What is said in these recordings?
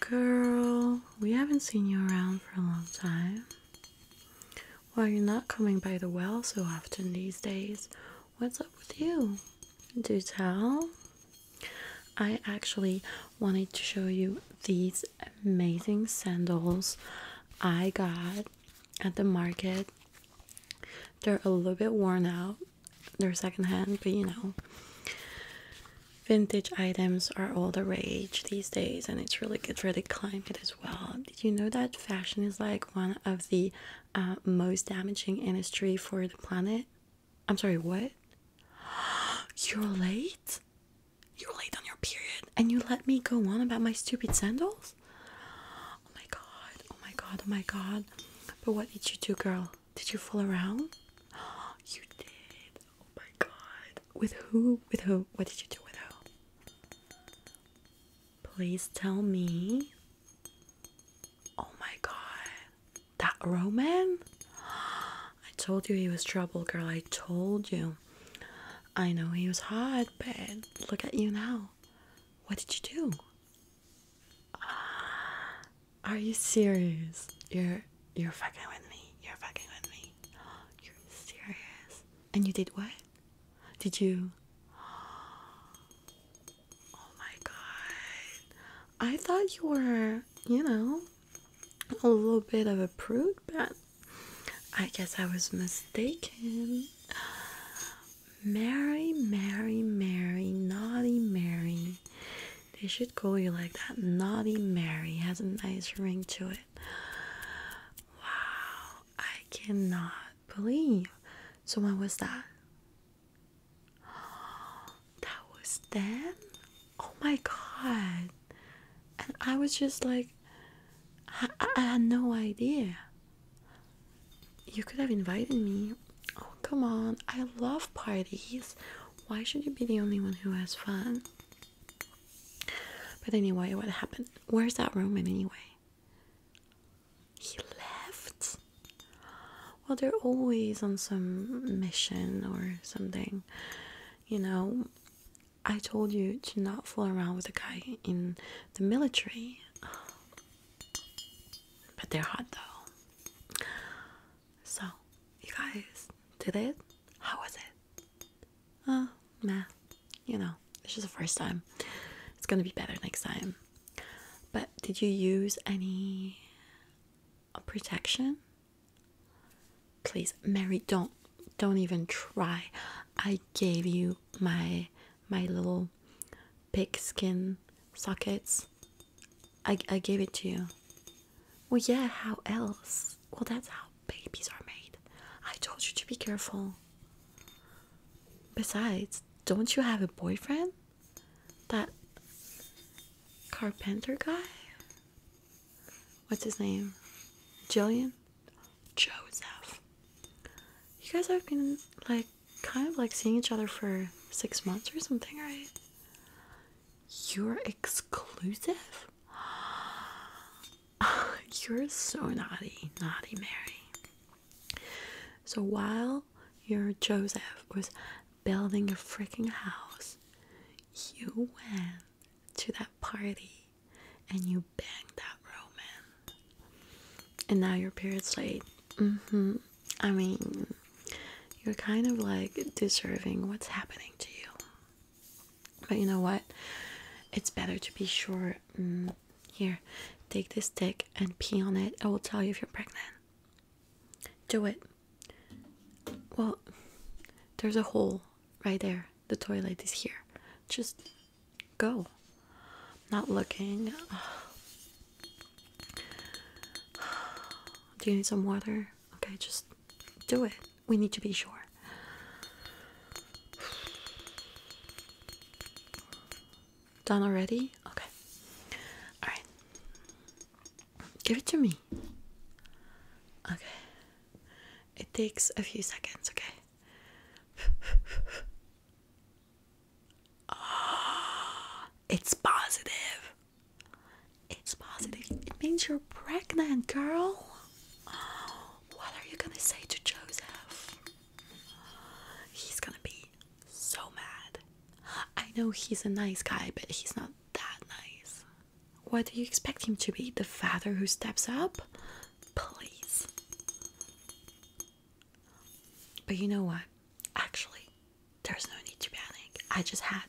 Girl, we haven't seen you around for a long time. Why you're not coming by the well so often these days. What's up with you? Do tell. I actually wanted to show you these amazing sandals I got at the market. They're a little bit worn out, they're secondhand, but you know, vintage items are all the rage these days, and it's really good for the climate as well. Did you know that fashion is like one of the uh, most damaging industry for the planet? I'm sorry, what? You're late? You're late on your period, and you let me go on about my stupid sandals? Oh my god, oh my god, oh my god. But what did you do, girl? Did you fool around? Oh, you did. Oh my god. With who? With who? What did you do with who? Please tell me. Oh my god. That Roman? I told you he was trouble, girl. I told you. I know he was hot, but look at you now. What did you do? Uh, are you serious? You're you're fucking with me. You're fucking with me. You're serious. And you did what? Did you? Oh my god. I thought you were, you know, a little bit of a prude, but I guess I was mistaken. Mary, Mary, Mary, naughty Mary. They should call you like that. Naughty Mary has a nice ring to it. Wow, I cannot believe. So, when was that? That was then? Oh my god. And I was just like, I, I had no idea. You could have invited me. Oh, come on. I love parties. Why should you be the only one who has fun? But anyway, what happened? Where's that Roman anyway? He left? Well, they're always on some mission or something. You know, I told you to not fool around with a guy in the military. But they're hot though. So, you guys did it? How was it? Oh, meh. You know, this is the first time. It's gonna be better next time. But did you use any uh, protection? Please, Mary, don't don't even try. I gave you my my little pig skin sockets. I, I gave it to you. Well, yeah, how else? Well, that's how babies are made. I told you to be careful. Besides, don't you have a boyfriend? That carpenter guy? What's his name? Jillian? Joseph. You guys have been like kind of like seeing each other for six months or something, right? You're exclusive? You're so naughty, naughty Mary. So while your Joseph was building a freaking house, you went to that party and you banged that Roman, and now your period's late. Mm hmm. I mean, you're kind of like deserving what's happening to you. But you know what? It's better to be sure. Mm, here, take this stick and pee on it. I will tell you if you're pregnant. Do it. Well, there's a hole right there. The toilet is here. Just go. Not looking. Do you need some water? Okay, just do it. We need to be sure. Done already? Okay. Alright. Give it to me. Okay. It takes a few seconds, okay? oh, it's positive. It's positive. It means you're pregnant, girl. what are you gonna say to Joseph? He's gonna be so mad. I know he's a nice guy, but he's not that nice. What do you expect him to be? The father who steps up? Please. But you know what? Actually, there's no need to panic. I just had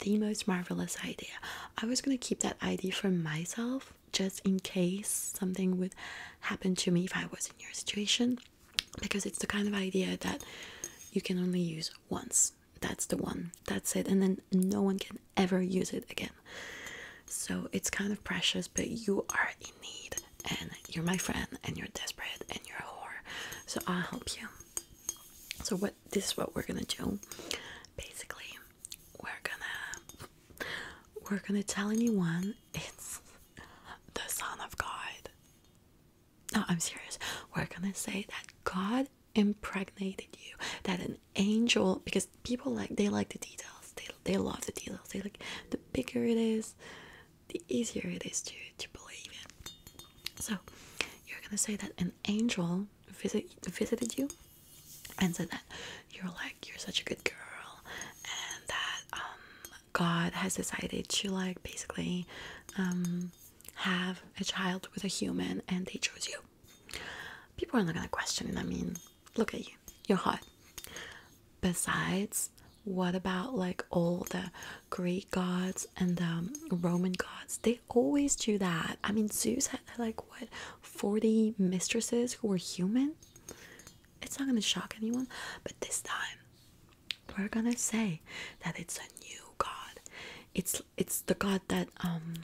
the most marvelous idea. I was gonna keep that idea for myself just in case something would happen to me if I was in your situation because it's the kind of idea that you can only use once that's the one that's it and then no one can ever use it again so it's kind of precious but you are in need and you're my friend and you're desperate and you're a whore so i'll help you so what this is what we're gonna do basically we're gonna we're gonna tell anyone it's the son of god no i'm serious we're gonna say that god impregnated you that an angel because people like they like the details they, they love the details they like the bigger it is the easier it is to to believe it. so you're gonna say that an angel visit visited you and said that you're like you're such a good girl and that um god has decided to like basically um have a child with a human and they chose you. People are not gonna question it. I mean, look at you, you're hot. Besides, what about like all the Greek gods and the um, Roman gods? They always do that. I mean, Zeus had like what 40 mistresses who were human. It's not gonna shock anyone, but this time we're gonna say that it's a new god. It's it's the god that um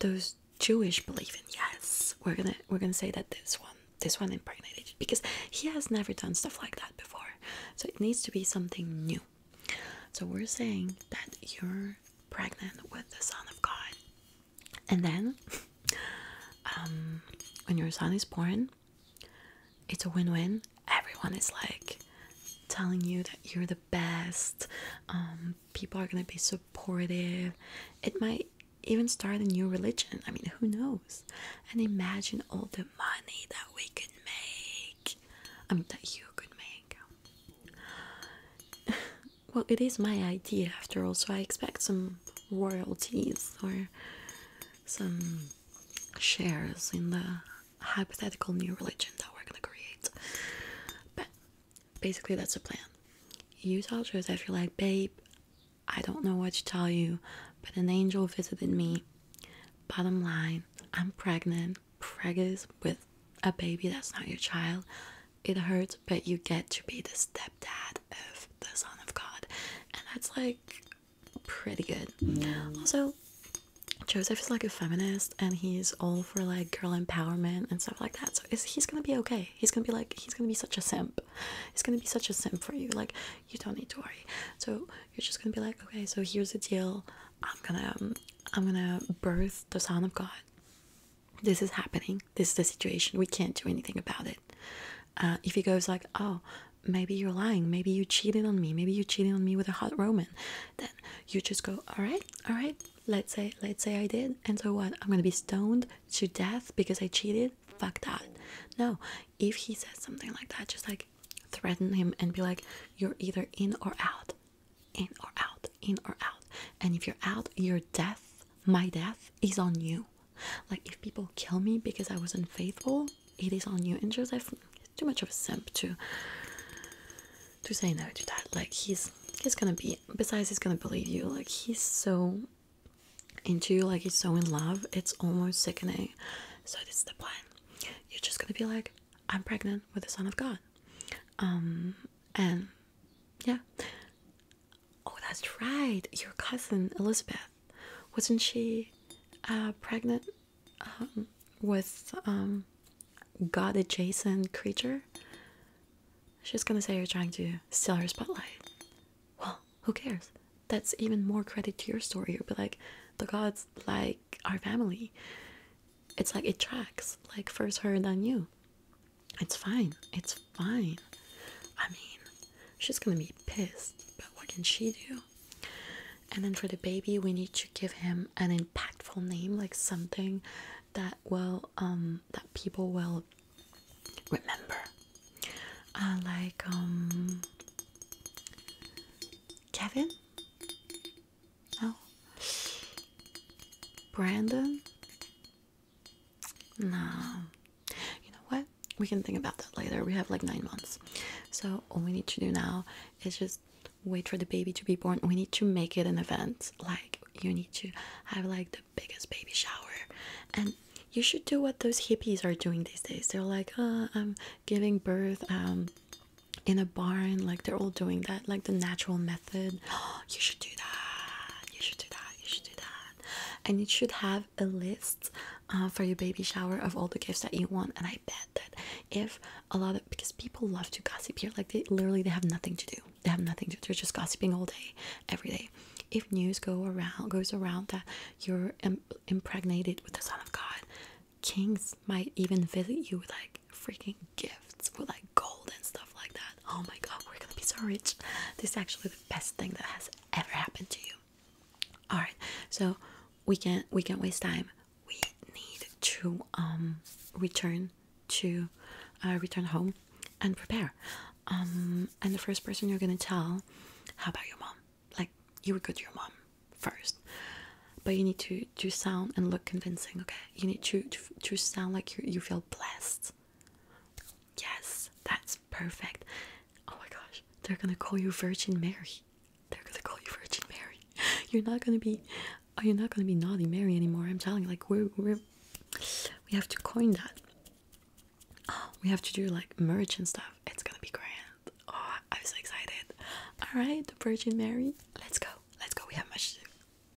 those Jewish believe in. Yes, we're gonna we're gonna say that this one this one impregnated because he has never done stuff like that before. So it needs to be something new. So we're saying that you're pregnant with the Son of God, and then um, when your son is born, it's a win-win everyone is like telling you that you're the best um, people are gonna be supportive it might even start a new religion i mean who knows and imagine all the money that we could make i mean that you could make well it is my idea after all so i expect some royalties or some shares in the hypothetical new religion that we're gonna create. But basically, that's the plan. You tell Joseph, you're like, babe, I don't know what to tell you, but an angel visited me. Bottom line, I'm pregnant, preggers with a baby that's not your child. It hurts, but you get to be the stepdad of the Son of God. And that's like pretty good. Also, Joseph is like a feminist and he's all for like girl empowerment and stuff like that. So he's gonna be okay. He's gonna be like, he's gonna be such a simp. He's gonna be such a simp for you. Like, you don't need to worry. So you're just gonna be like, okay, so here's the deal. I'm gonna, I'm gonna birth the Son of God. This is happening. This is the situation. We can't do anything about it. Uh, if he goes like oh maybe you're lying maybe you cheated on me maybe you cheated on me with a hot roman then you just go all right all right let's say let's say i did and so what i'm gonna be stoned to death because i cheated fuck that no if he says something like that just like threaten him and be like you're either in or out in or out in or out and if you're out your death my death is on you like, if people kill me because I was unfaithful, it is on you. And Joseph is too much of a simp to to say no to that. Like, he's he's gonna be. Besides, he's gonna believe you. Like, he's so into you. Like, he's so in love. It's almost sickening. So this is the plan. You're just gonna be like, I'm pregnant with the Son of God. Um, and yeah, Oh, that's right. Your cousin Elizabeth, wasn't she uh, pregnant um, with um, God adjacent creature? She's gonna say you're trying to steal her spotlight. Well, who cares? That's even more credit to your story. You'll be like, the gods like our family. It's like it tracks. Like first her, then you. It's fine. It's fine. I mean, She's gonna be pissed, but what can she do? And then for the baby, we need to give him an impactful name, like something that will um that people will remember. Uh, like um Kevin? No. Brandon? No. You know what? We can think about that later. We have like nine months. So all we need to do now is just wait for the baby to be born. We need to make it an event. Like you need to have like the biggest baby shower. And you should do what those hippies are doing these days. They're like, uh, I'm giving birth um in a barn, like they're all doing that, like the natural method. you should do that. You should do that. You should do that and you should have a list uh, for your baby shower of all the gifts that you want and i bet that if a lot of because people love to gossip here like they literally they have nothing to do they have nothing to do they're just gossiping all day every day if news go around goes around that you're impregnated with the son of god kings might even visit you with like freaking gifts with like gold and stuff like that. Oh my god, we're gonna be so rich. This is actually the best thing that has ever happened to you. Alright, so we can't we can't waste time. We need to um return to uh, return home and prepare. Um and the first person you're gonna tell, how about your mom? Like you would go to your mom first. But you need to to sound and look convincing, okay? You need to to, to sound like you you feel blessed Yes, that's perfect. Oh my gosh, they're gonna call you Virgin Mary. They're gonna call you Virgin Mary. You're not gonna be, oh, you're not gonna be naughty Mary anymore. I'm telling you, like we're we're we have to coin that. we have to do like merch and stuff. It's gonna be grand. Oh, I'm so excited. All right, Virgin Mary, let's go. Let's go. We have much